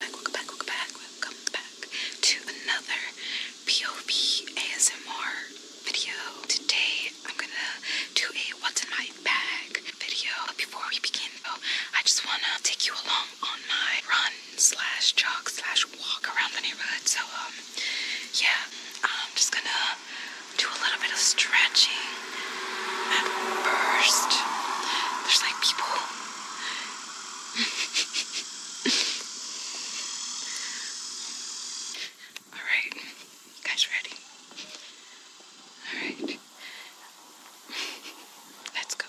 welcome back, welcome back, welcome back to another POV ASMR video. Today I'm gonna do a what's in my bag video. But before we begin though, I just wanna take you along on my run slash jog slash walk around the neighborhood. So um yeah, I'm just gonna do a little bit of stretching at first. There's like people all right, you guys ready? All right, let's go.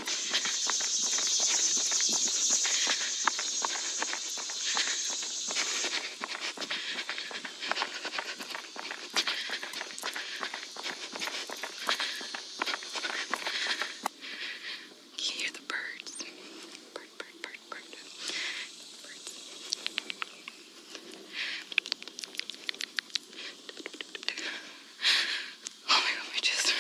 Can you hear the birds? Bird, bird, bird, bird. Birds. Oh my god, We just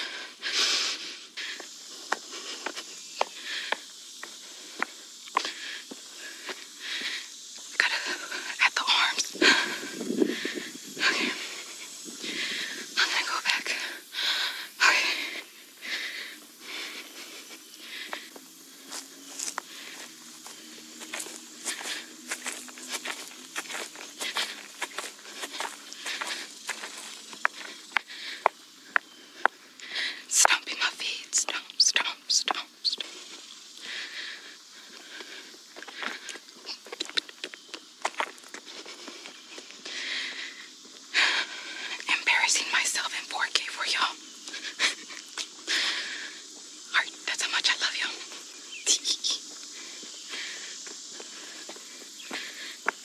Gotta at the arms. Okay. I'm go back. Okay. Stomping my feet. Stomp, stomp, stomp, stomp. Embarrassing myself in 4K for y'all. Alright, that's how much I love you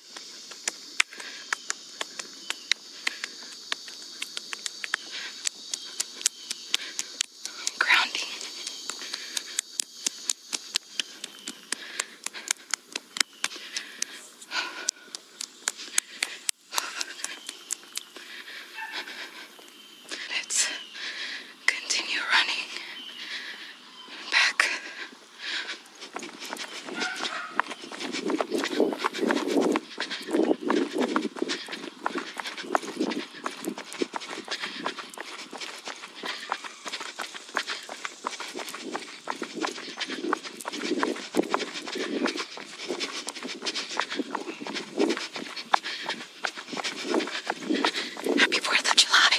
Let's continue running back Happy Fourth of July.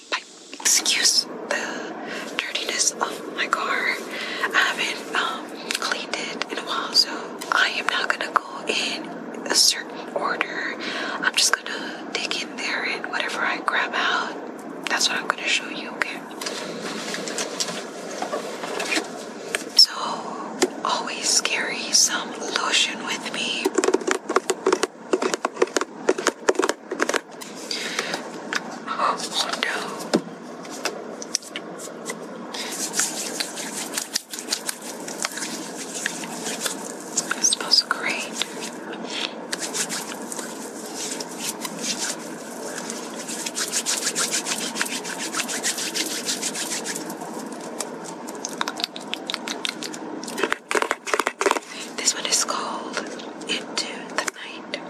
excuse the dirtiness of my car. I haven't um, cleaned it in a while, so I am not gonna go in a certain order. I'm just gonna dig in there and whatever I grab out, that's what I'm gonna show you, So, always carry some lotion with me. Oh no. It smells great. This one is called Into the Night.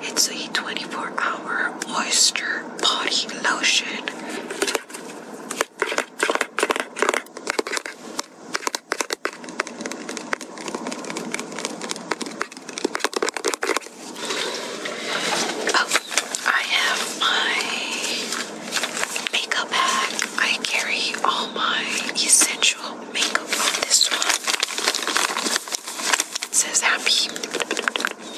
It's a 24 hour moisture body lotion. Oh, I have my makeup bag. I carry all my essential usual makeup this one. says happy,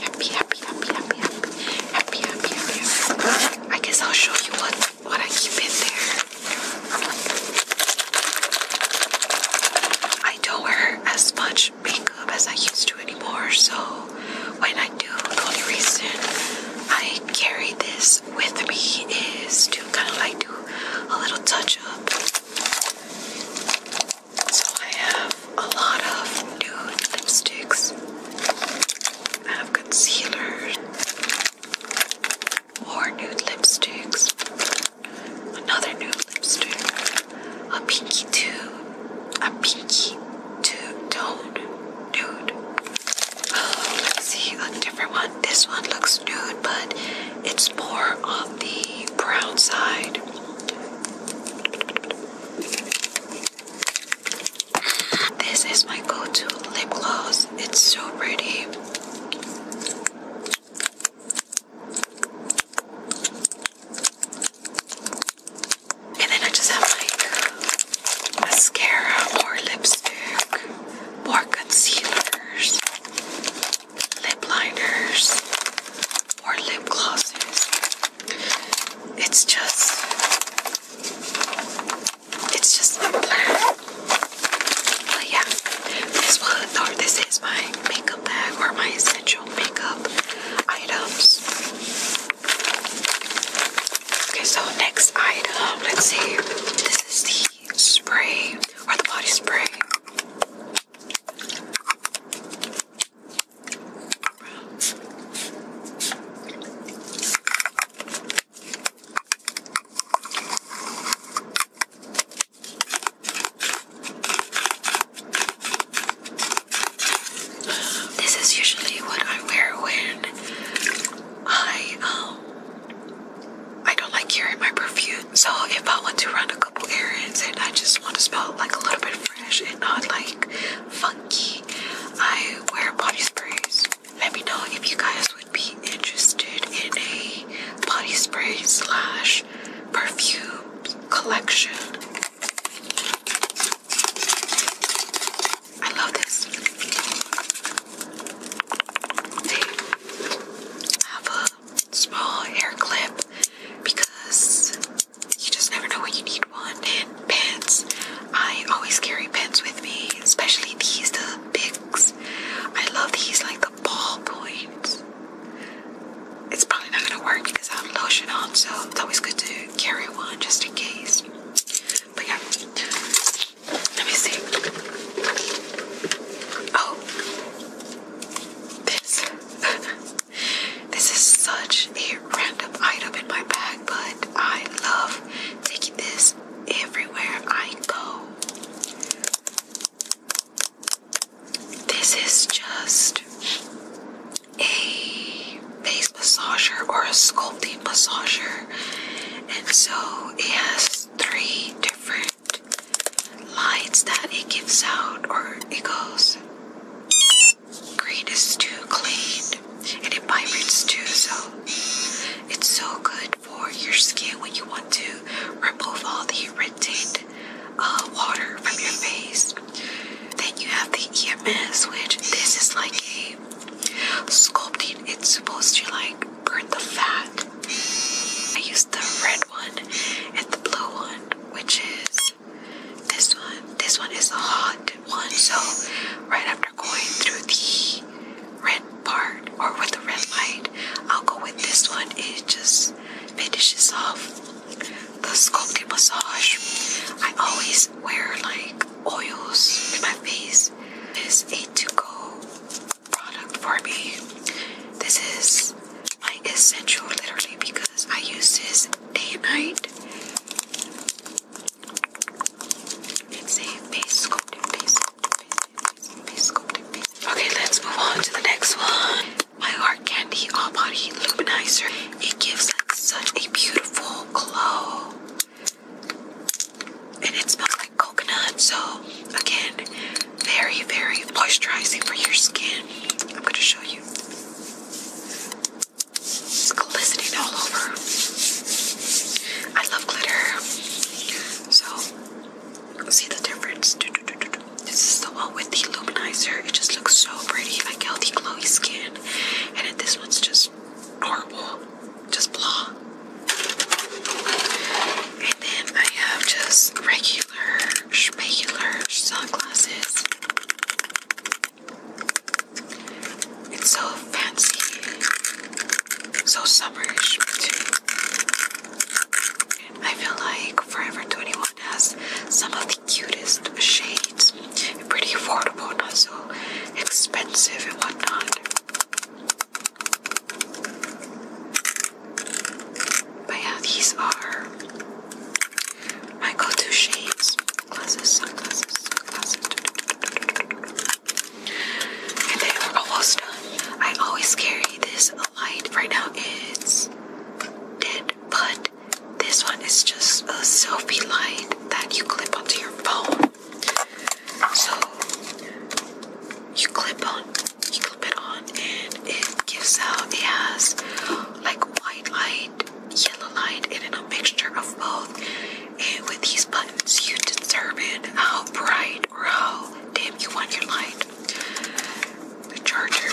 happy, happy, happy, happy, happy, happy. I guess I'll show you what, what I keep in there. I don't wear as much makeup as I used to anymore, so when I do, the only reason I carry this with me is to kind of like do a little touch up. So I have a lot of nude lipsticks. I have concealers, more nude lipsticks, another nude lipstick, a pinky tube, a pinky two tone nude. let's see a different one. This one looks nude, but it's more on the brown side. This is my go-to lip gloss. It's so pretty. And then I just have like mascara, more lipstick, more concealers, lip liners, or lip glosses. It's just, it's just a plan. But yeah, this was, or this is my makeup bag or my essential makeup items. Okay, so next item, let's see. This is the spray or the body spray. This is usually what I wear when I um I don't like carrying my perfume, so if I want to run a couple errands and I just want to smell like a little bit fresh and not like funky, I wear body sprays. Let me know if you guys would be interested in a body spray slash perfume collection. I love this. have a small hair clip because you just never know when you need one. And pens. I always carry pens with me, especially these, the bigs. I love these, like the ball points. It's probably not gonna work because I have lotion on, so it's always good to carry one just in case. But yeah, let me see. Oh, this this is such a random item in my bag, but I love taking this everywhere I go. This is just a face massager or a sculpting massager, and so it has three different lights that it gives out, or it goes green is too clean and it vibrates too, so it's so good for your skin when you want to remove all the retained uh, water from your face. Then you have the EMS, which this is like a Sculpting, it's supposed to like burn the fat. I used the red one and the blue one, which is this one. This one is the hot one. So right after going through the red part or with the red light, I'll go with this one. It just finishes off the sculpting massage. I always wear like oils in my face. is a to go product for me. This is my essential, literally, because I use this day and night. It's a face sculpting face. Okay, let's move on to the next one. My Heart Candy All Body Luminizer. It gives such a beautiful glow. And it smells like coconut. So, again, very, very moisturizing for your skin. I'm going to show you. It's glistening all over. I love glitter. So, see the difference. This is the one with the luminizer. It just looks so pretty, like healthy, glowy skin. And this one's just horrible, just blah. And then I have just regular, regular sunglasses. It's so fancy, so summerish too. I feel like Forever 21 has some of the the cutest shades. Pretty affordable, not so expensive and whatnot. But yeah, these are my go-to shades. Glasses, sunglasses, sunglasses. And then we're almost done. I always carry this light. Right now it's dead but this one is just a selfie light that you clip onto your phone. So you clip on, you clip it on, and it gives out. It has like white light, yellow light, and a mixture of both. And with these buttons, you determine how bright or how dim you want your light. The chargers.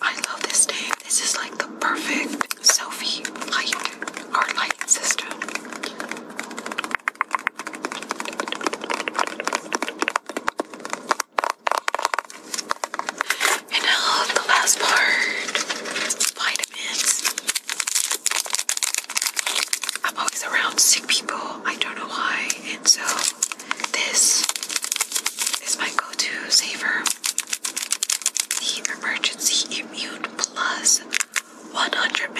I love this name. This is like the perfect selfie light or light system. And now the last part vitamins. I'm always around sick people. I don't know why. And so this is my go to saver. The Emergency Immune Plus 100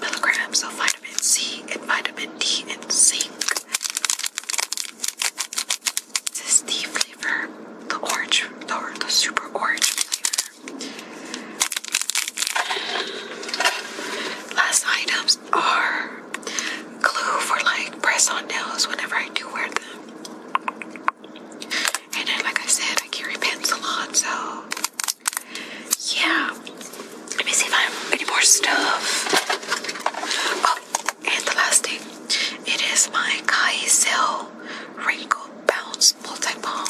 milligrams of vitamin C and vitamin D and zinc. This is the flavor, the orange, the super orange flavor. Last item are glue for like press on nails whenever I do wear them. And then, like I said, I carry pencil on, so yeah. Let me see if I have any more stuff. Oh, and the last thing it is my Kaisel Wrinkle Bounce Multi Balm.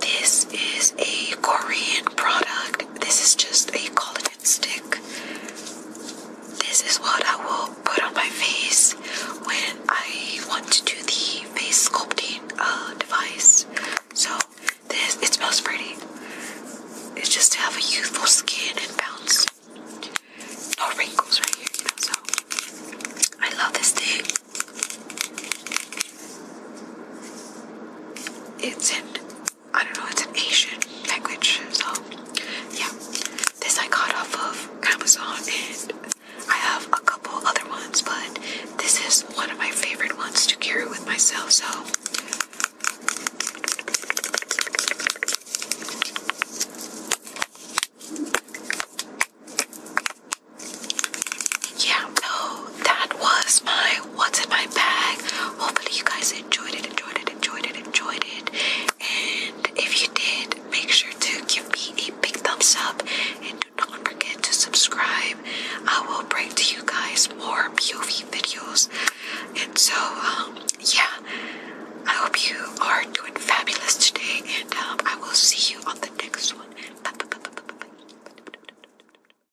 This is a Korean product. This is just a collagen chocolate stick. This is what I will put on my face when I want to do the face sculpting uh, device. So this it smells pretty. It's just to have a youthful skin and bounce. No wrinkles right here, you know. So I love this thing. It's in I don't know, it's an Asian language. So, yeah. This I got off of Amazon, and I have a couple other ones, but this is one of my favorite ones to carry with myself. So, yeah, so that was my what's in my bag. Hopefully, you guys enjoyed it, enjoyed it, enjoyed it, enjoyed it. And if you did, make sure to give me a big thumbs up and do not forget to subscribe. I will bring to you guys more POV videos. And so, um, yeah, I hope you are doing fabulous today, and um, I will see you on the next one. bye.